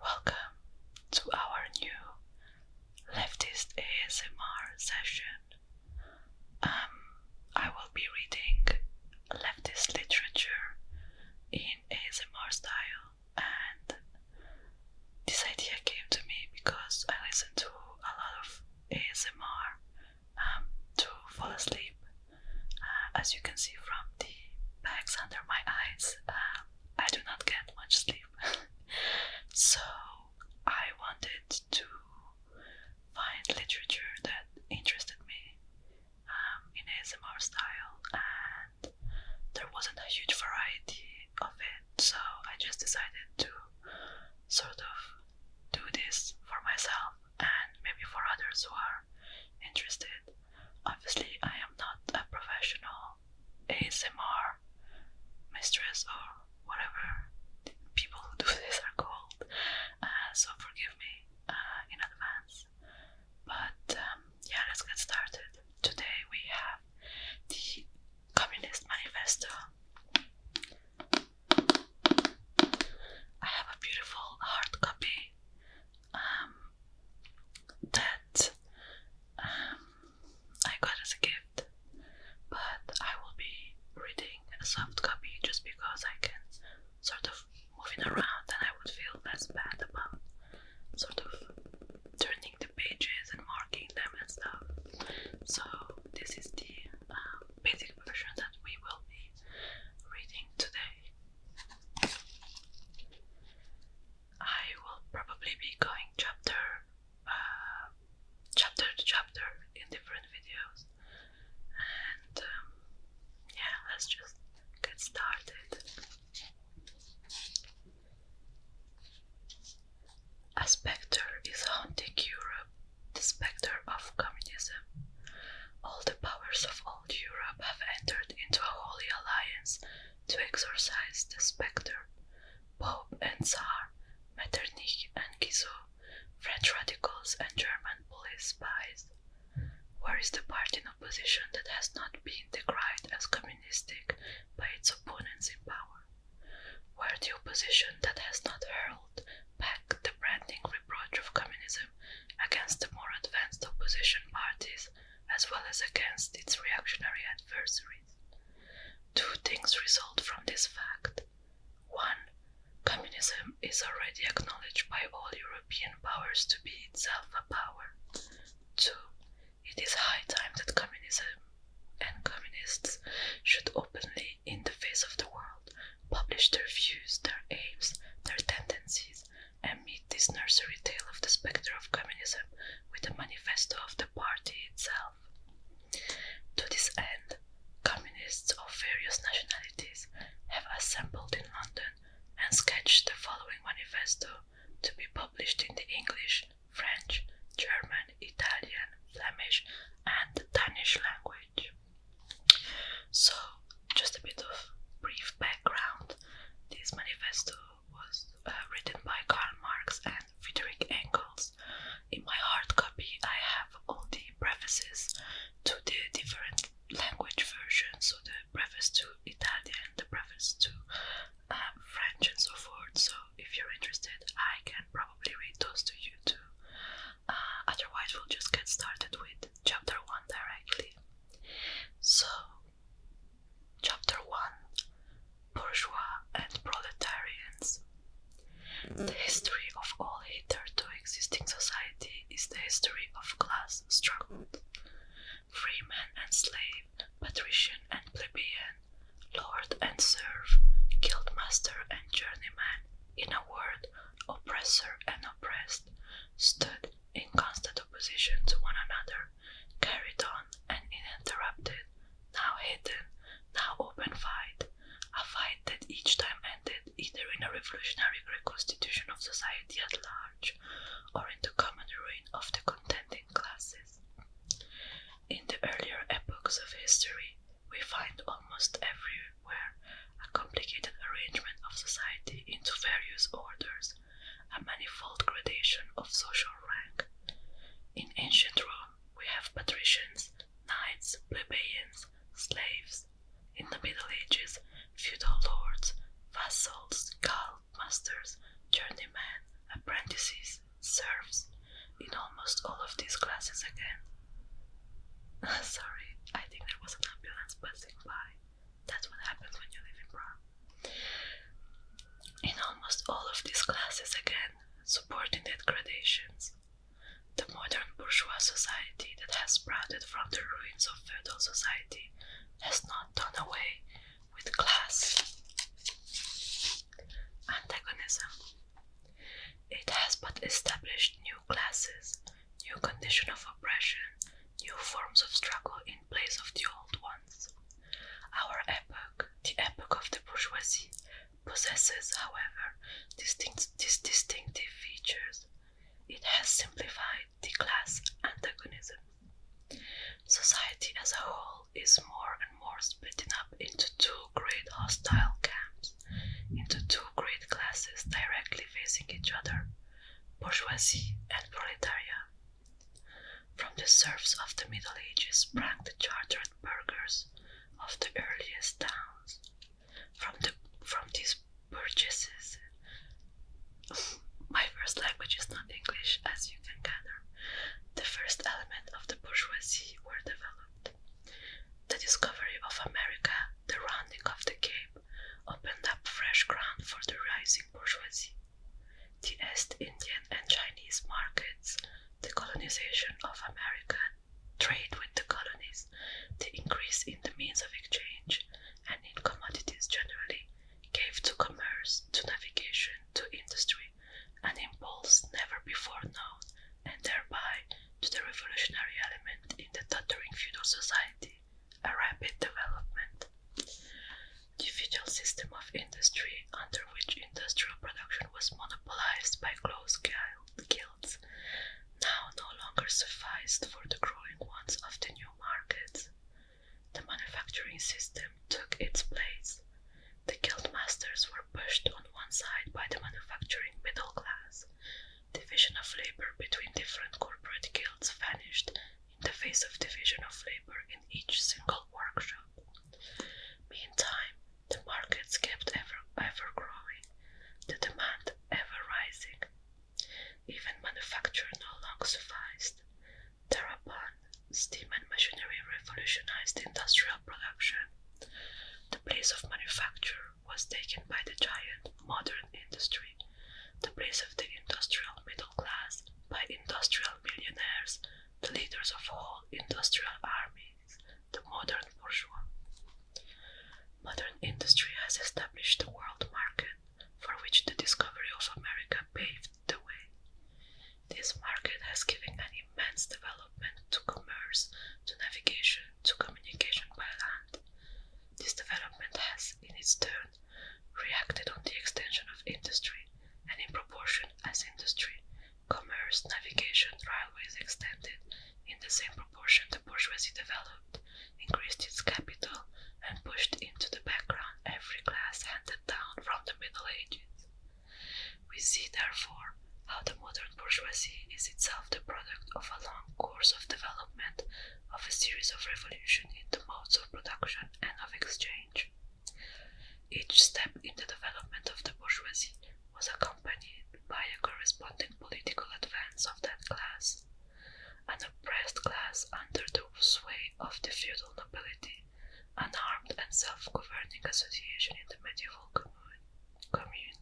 Welcome to our new leftist ASMR session. Um, I will be reading leftist literature in ASMR style, and this idea came to me because I listen to a lot of ASMR um, to fall asleep. Uh, as you can see from the bags under my eyes, um, I do not get much sleep. so I wanted to find literature that interested me um, in ASMR style, and there wasn't a huge variety of it, so I just decided to sort of do this for myself and maybe for others who are interested. Obviously, I am not a professional ASMR mistress or whatever people who do this are called, uh, so forgive me uh, in advance. But um, yeah, let's get started. Today we have the Communist Manifesto. I have a beautiful hard copy. Um, that um, I got as a gift, but I will be reading a soft copy just because I can sort of move it around and I would feel less bad about sort of turning the pages and marking them and stuff. So, this is the um, basic version that we will be reading today. I will probably be going chapter uh, chapter chapter in different videos, and um, yeah, let's just get started. A spectre is haunting Europe, the spectre of communism. All the powers of old Europe have entered into a holy alliance to exorcise the spectre. Pope and Tsar, Metternich and Guizot, French radicals and German police spies. Where is the party in opposition that has not been decried as communistic by its opponents in power? Where the opposition that has not hurled back the branding reproach of communism against the more advanced opposition parties as well as against its reactionary adversaries. Two things result from this fact. One, communism is already acknowledged by all European powers to be itself a power. Two, it is high time that communism and communists should openly, in the face of the world, publish their views, their aims, their tendencies, and meet this nursery tale of the spectre of communism with the manifesto of the party itself. To this end, communists of various nationalities have assembled in London and sketched the following manifesto to be published in the English, French, German, Italian, Flemish, and Danish language. So, just a bit of brief background. This manifesto was uh, written by Karl Marx and Friedrich Engels. In my hard copy, I have all the prefaces to the different language versions, so the preface to Italian, the preface to um, French, and so forth. So, if you're interested, I can probably read those to you too. Uh, otherwise, we'll just get started with chapter 1 directly. So, Chapter 1 Bourgeois and Proletarians. The history of all hitherto existing society is the history of class struggle. Freeman and slave, patrician and plebeian, lord and serf, guildmaster and journeyman, in a word, oppressor and oppressed, stood in constant opposition to one another, carried on an uninterrupted, now hidden, now open fight, a fight that each time ended either in a revolutionary reconstitution of society at large or in the common ruin of the contending classes. In the earlier epochs of history, we find almost everywhere a complicated arrangement of society into various orders a manifold gradation of social rank. In ancient Rome, we have patricians, knights, plebeians, slaves. In the Middle Ages, feudal lords, vassals, guild masters, journeymen, apprentices, serfs. In almost all of these classes again. Sorry, I think there was an ambulance passing by. That's what happens when you live in Prague. In almost all of these classes, again, subordinate gradations. The modern bourgeois society that has sprouted from the ruins of feudal society has not done away with class antagonism. It has but established new classes, new conditions of oppression, new forms of struggle in place of the old ones. Our epoch, the epoch of the bourgeoisie, possesses, however, distinct, these distinctive features. It has simplified the class antagonism. Society as a whole is more and more splitting up into two great hostile camps, into two great classes directly facing each other bourgeoisie and proletariat. From the serfs of the Middle Ages sprang the chartered burghers of the earliest towns. From these burgesses, my first language is not English, as you can gather. The first elements of the bourgeoisie were developed. The discovery of America, the rounding of the Cape, opened up fresh ground for the rising bourgeoisie the East Indian and Chinese markets, the colonization of America, trade with the colonies, the increase in the means of exchange and in commodities generally, gave to commerce, to navigation, to industry, an impulse never before known, and thereby to the revolutionary element in the tottering feudal society a rapid development. The feudal system of industry, under which industrial production was monopolized by close guilds, now no longer sufficed for the growing wants of the new markets. The manufacturing system took its place. The guild masters were pushed on one side by the manufacturing middle class. Division of labor between different corporate guilds vanished in the face of division of labor in each single workshop. Meantime, the markets kept ever, ever growing, the demand ever rising. Even manufacture no longer sufficed. Thereupon, steam and machinery revolutionized industrial production. The place of manufacture was taken by the giant modern industry, the place of the industrial middle class by industrial millionaires, the leaders of all industrial armies, the modern bourgeois. Modern industry has established the world market for which the discovery of America paved the way. This market has given an immense development to commerce, to navigation, to communication by land. This development has, in its turn, reacted on the extension of industry, and in proportion as industry, commerce, navigation, railways extended, in the same proportion the bourgeoisie developed, increased its capital, and pushed into the background every class handed down from the Middle Ages. We see, therefore, how the modern bourgeoisie is itself the product of a long course of development of a series of revolutions in the modes of production and of exchange. Each step in the development of the bourgeoisie was accompanied by a corresponding political advance of that class. An oppressed class under the sway of the feudal nobility, an armed and self governing association in the medieval commune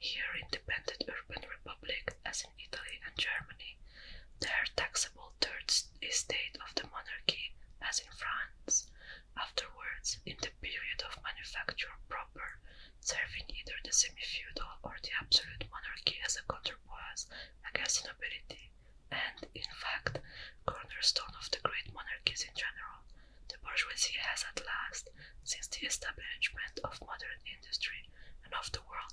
here independent urban republic as in Italy and Germany, their taxable third estate of the monarchy, as in France. Afterwards, in the period of manufacture proper, serving either the semi-feudal or the absolute monarchy as a counterpoise against the nobility, and, in fact, cornerstone of the great monarchies in general, the bourgeoisie has at last, since the establishment of modern industry and of the world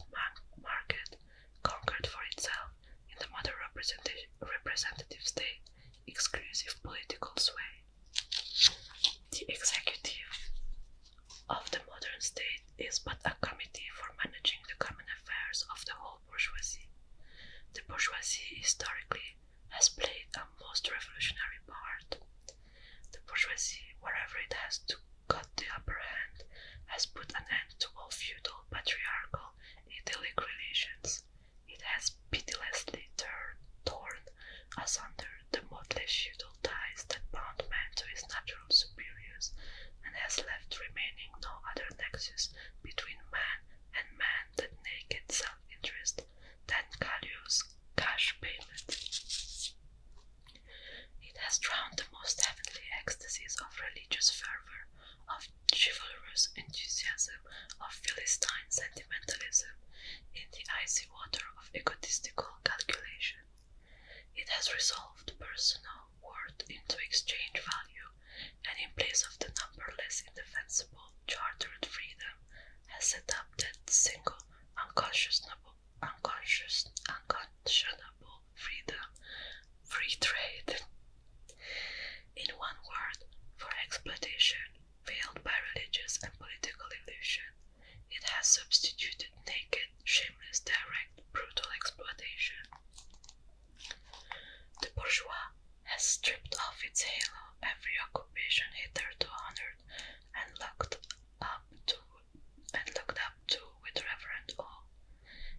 market, conquered for itself in the modern representative state exclusive political sway. The executive of the modern state is but a committee for managing the common affairs of the whole bourgeoisie. The bourgeoisie historically has played a most revolutionary part. The bourgeoisie, wherever it has to who got the upper hand has put an end to all feudal, patriarchal, idyllic relations. It has pitilessly torn asunder the motley feudal ties that bound man to his natural superiors, and has left remaining no other nexus between man and man than naked self interest, than Gallio's cash payment. It has drowned the most heavenly ecstasies of religious fervor, of chivalrous enthusiasm, of Philistine sentimentalism, in the icy water of egotistical calculation. It has resolved personal worth into exchange value, and in place of the numberless indefensible chartered freedom, has set up that single unconscionable, unconscious, unconscionable freedom, free trade. In one word, for exploitation, veiled by religious and political illusion, it has substituted naked, shameless, direct, brutal exploitation. The bourgeois has stripped off its halo every occupation hitherto honored and locked up to and looked up to with reverent awe.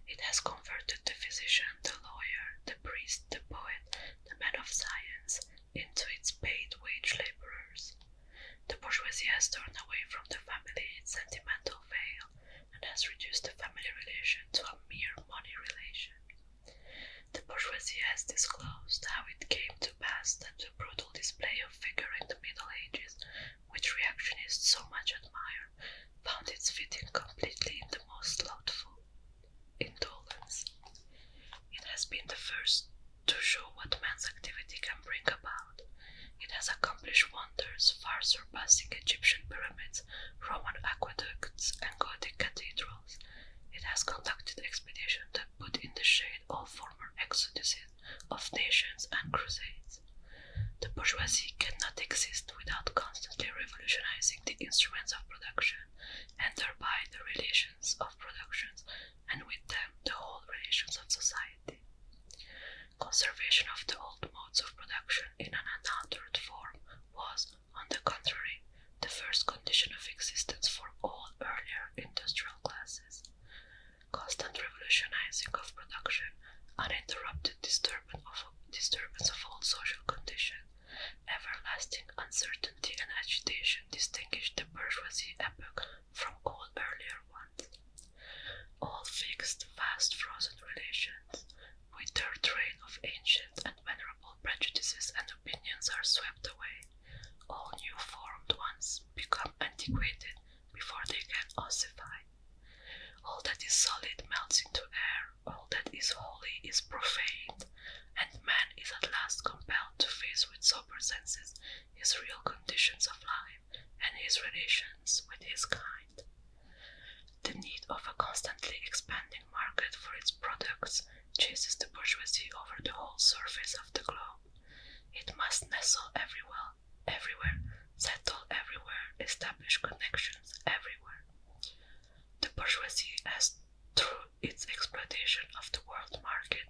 It has converted the physician, the lawyer, the priest, the poet, the man of science into its paid wage laborers. The bourgeoisie has torn away from the family its sentimental veil and has reduced the family relation to a mere money relation. The bourgeoisie has disclosed how it came to pass that the brutal display of figure in the Middle Ages which reactionists so much admire, found its fitting completely in the most laudable indolence. It has been the first to show what man's activity can bring about. It has accomplished wonders far surpassing Egyptian pyramids, Roman aqueducts, and Gothic cathedrals. It has conducted expeditions that put in the shade all former exoduses of nations and crusades. The bourgeoisie cannot exist without constantly revolutionizing the instruments of production and thereby the relations of productions and with them the whole relations of society. Conservation of the old modes of production in an unaltered form was, on the contrary, the first condition of existence for all earlier industrial classes constant revolutionizing of production, uninterrupted disturbance of, disturbance of all social conditions, everlasting uncertainty and agitation distinguish the bourgeoisie epoch from all earlier ones. All fixed, fast, frozen relations, with their train of ancient and venerable prejudices and opinions are swept away. All new formed ones become antiquated before they can ossify. All that is solid melts into air, all that is holy is profaned, and man is at last compelled to face with sober senses his real conditions of life and his relations with his kind. The need of a constantly expanding market for its products chases the bourgeoisie over the whole surface of the globe. It must nestle everywhere everywhere, settle everywhere, establish connections everywhere. The bourgeoisie has, through its exploitation of the world market,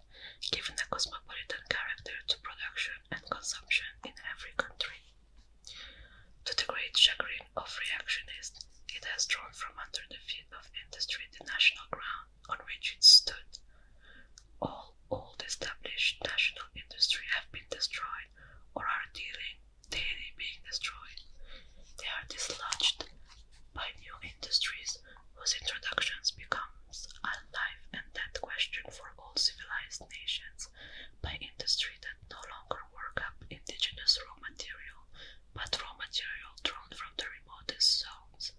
given a cosmopolitan character to production and consumption in every country. To the great chagrin of reactionists, it has drawn from under the feet of industry the national ground on which it stood. All all old established national industries have been destroyed or are dealing, daily being destroyed. They are dislodged by new industries whose introductions becomes a life and death question for all civilized nations by industry that no longer work up indigenous raw material but raw material drawn from the remotest zones.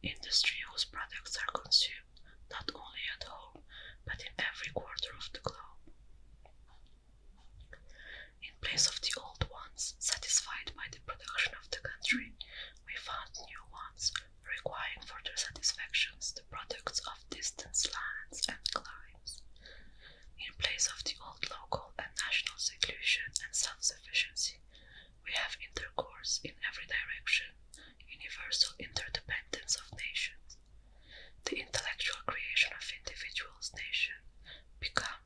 Industry whose products are consumed not only at home but in every quarter of the globe. In place of the old ones, satisfied by the production of the country, we found new ones requiring for their satisfactions the products of distant lands and climes. In place of the old local and national seclusion and self sufficiency, we have intercourse in every direction, universal interdependence of nations, the intellectual creation of individuals, nation, become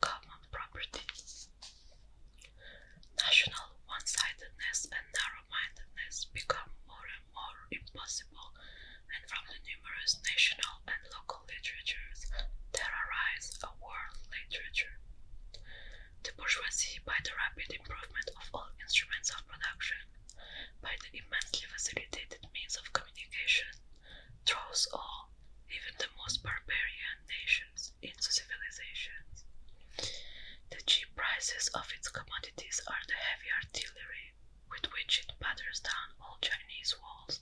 common property. National one-sidedness and narrow-mindedness become more and more impossible, and from the numerous national and local literatures there arise a world literature. The bourgeoisie, by the rapid improvement of all instruments of production, by the immensely facilitated means of communication, throws all, even the most barbarian nations, into civilizations. The cheap prices of its commodities are the heavy artillery with which it batters down all Chinese walls,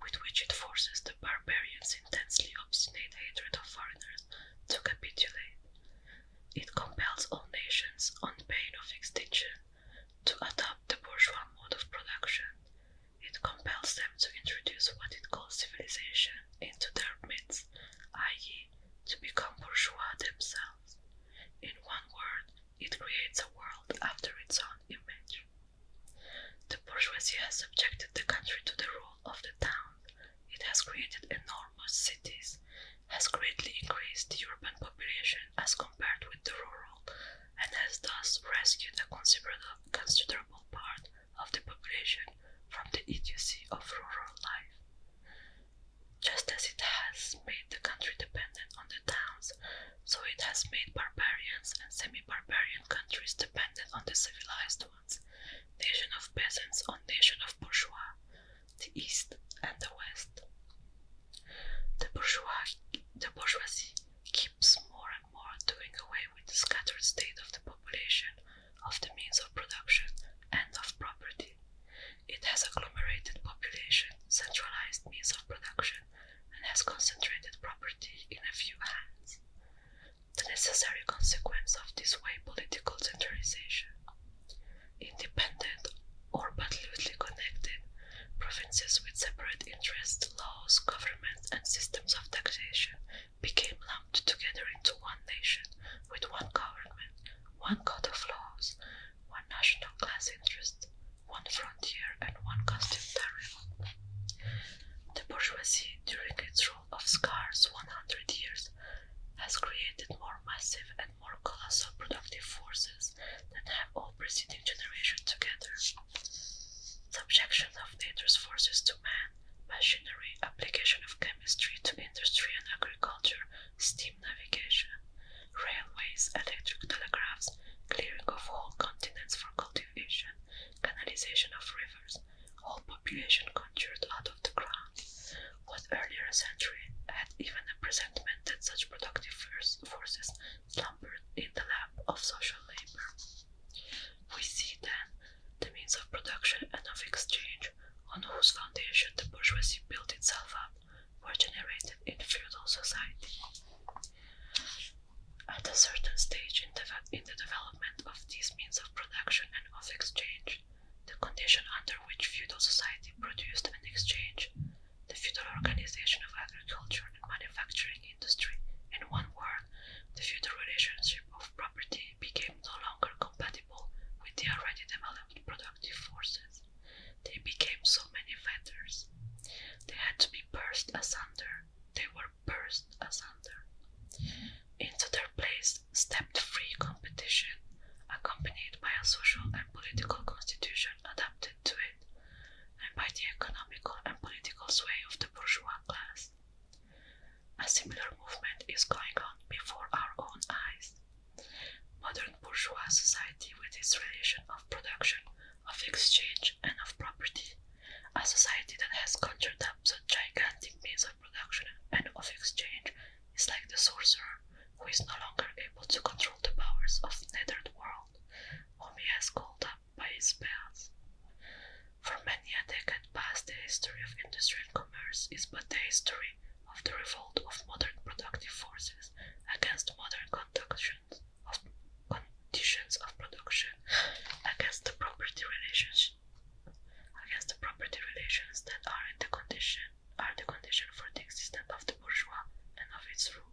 with which it forces the barbarians' intensely obstinate hatred of foreigners to capitulate, it compels all nations, on pain of extinction, to adopt the bourgeois mode of production. It compels them to introduce what it calls civilization into their midst, i.e., to become bourgeois themselves. In one word, it creates a world after its own image. The bourgeoisie has subjected the country to the rule of the town. It has created enormous cities has greatly increased the urban population as compared with the rural and has thus rescued a considerable part of the population from the idiocy of rural life. Just as it has made the country dependent on the towns, so it has made barbarians and semi-barbarian countries dependent on the civilized ones, nation of peasants on nation of bourgeois, the East and the West. The, bourgeoisie keeps more and more doing away with the scattered state of the population, of the means of production, and of property. It has agglomerated population, centralized means of production, and has concentrated property in a few hands. The necessary consequence of this way political centralization Independent or but loosely connected, provinces with separate interests, laws, governments, and systems of taxation became lumped together into one nation with one government, one code of laws, one national class interest, one frontier, and one customary. The bourgeoisie, during its rule of scarce 100 years, has created more massive and more colossal productive forces than have all preceding generations together. Subjection of nature's forces to man, machinery, application of chemistry to industry and agriculture, steam navigation, railways, electric telegraphs, clearing of whole continents for cultivation, canalization of rivers, whole population conjured out of the ground, what earlier century had even a presentment that such productive forces slumbered in the lap of social labor. We see then the means of production and of exchange on whose foundation the bourgeoisie built itself up were generated in feudal society. At a certain stage in the, in the development of these means of production and of exchange, the condition under which feudal society produced and exchanged the feudal organization of agriculture and manufacturing industry. In one word, the feudal relationship of property became no longer compatible with the already developed productive forces. They became so many fetters. They had to be burst asunder. They were burst asunder. Into their place stepped free competition, accompanied by a social and political constitution adapted to it, and by the economical and political sway of the bourgeois class. A similar movement is going on before our own eyes. Modern bourgeois society, with its relation of production, of exchange, and of property, a society that has conjured up the gigantic means of production and of exchange it is like the sorcerer who is no longer able to control the powers of the Netherworld, world, whom he has called up by his spells. For many a decade past, the history of industry and commerce is but the history of the revolt of modern productive forces against modern conditions of, production, against the property relations that are in the condition are the condition for the existence of the bourgeois and of its rule.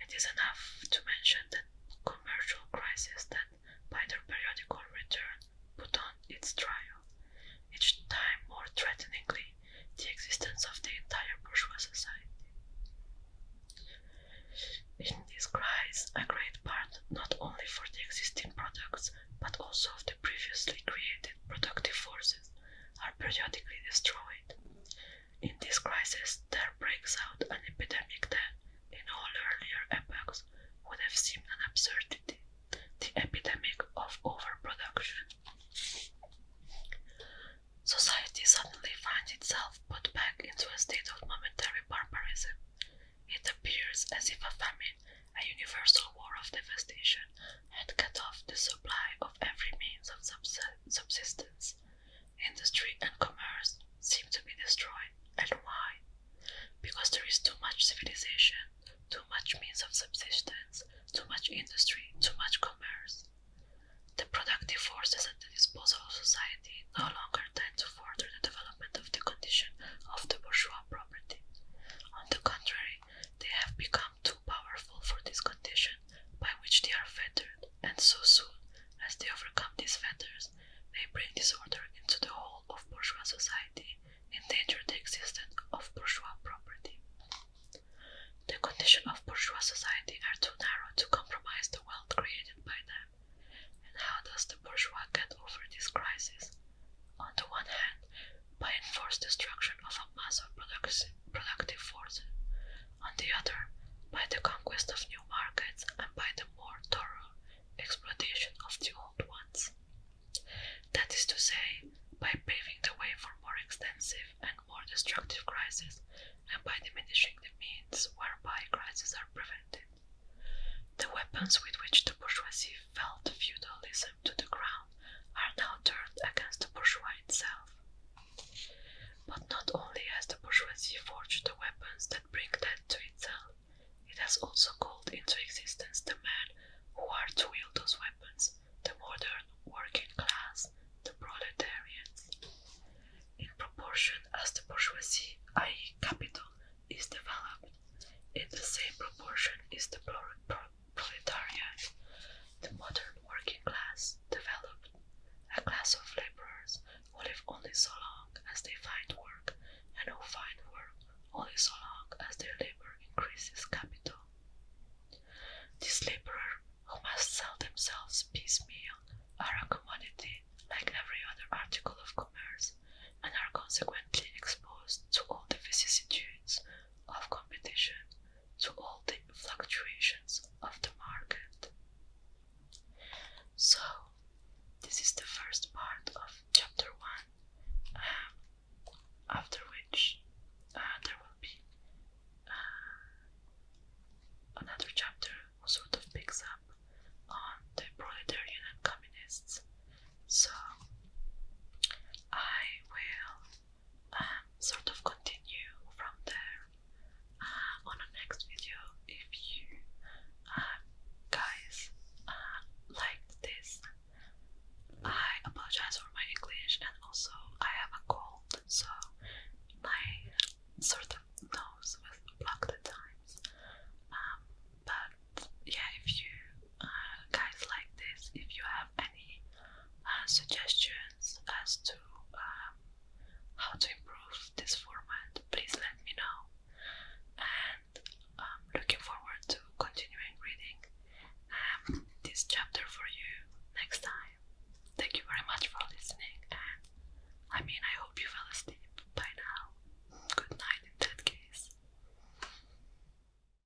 It is enough to mention the commercial crises that, by their periodic return, put on its trial, each time more threateningly, the existence of the entire bourgeois society. In this crisis, a great part not only for the existing products but also of the previously created productive forces are periodically destroyed. In this crisis, there breaks out an epidemic that, in all earlier epochs, would have seemed an absurdity the epidemic of overproduction. Society suddenly finds itself put back into a state of momentary barbarism. It appears as if a famine a universal war of devastation had cut off the supply of every means of subsistence. Industry and commerce seem to be destroyed. And why? Because there is too much civilization, too much means of subsistence, too much industry, too much commerce. The productive forces at the disposal of society no longer tend to further the development of the condition of the bourgeois property. On the contrary, they have become too powerful for this condition by which they are fettered, and so soon as they overcome these fetters, they bring disorder into the whole of bourgeois society, endanger the existence of bourgeois property. The condition of bourgeois society are too narrow to compromise the wealth created by them. And how does the bourgeois get over this crisis? On the one hand, by enforced destruction of a mass of productive force, on the other, by the conquest of new markets and by the more thorough exploitation of the old ones. That is to say, by paving the way for more extensive and more destructive crises, and by diminishing the means whereby crises are prevented. The weapons with which the bourgeoisie felled feudalism to the ground are now turned against the bourgeoisie itself. But not only has the bourgeoisie forged the weapons that bring death to itself, it has also called into existence the men who are to wield those weapons, the modern working class, the proletarians. In proportion as the bourgeoisie, i.e., capital, is developed, in the same proportion is the proletariat proletariat, the modern working class developed a class of laborers who live only so long as they find work and who find work only so long as their labor increases capital. These laborers who must sell themselves piecemeal are a commodity like every other article of commerce and are consequently exposed to all the vicissitudes of competition to all the fluctuations of the market. So, this is the first part of chapter 1, um, after which uh, there will be uh, another chapter who sort of picks up on the proletarian and communists. So, I will sort of continue from there uh, on the next video if you uh, guys uh, liked this. I apologize for my English and also I have a cold so my sort of nose was blocked at times. Um, but yeah, if you uh, guys like this if you have any uh, suggestions as to uh, how to improve this format please let me know and I'm um, looking forward to continuing reading um, this chapter for you next time thank you very much for listening and I mean I hope you fell asleep by now good night in that case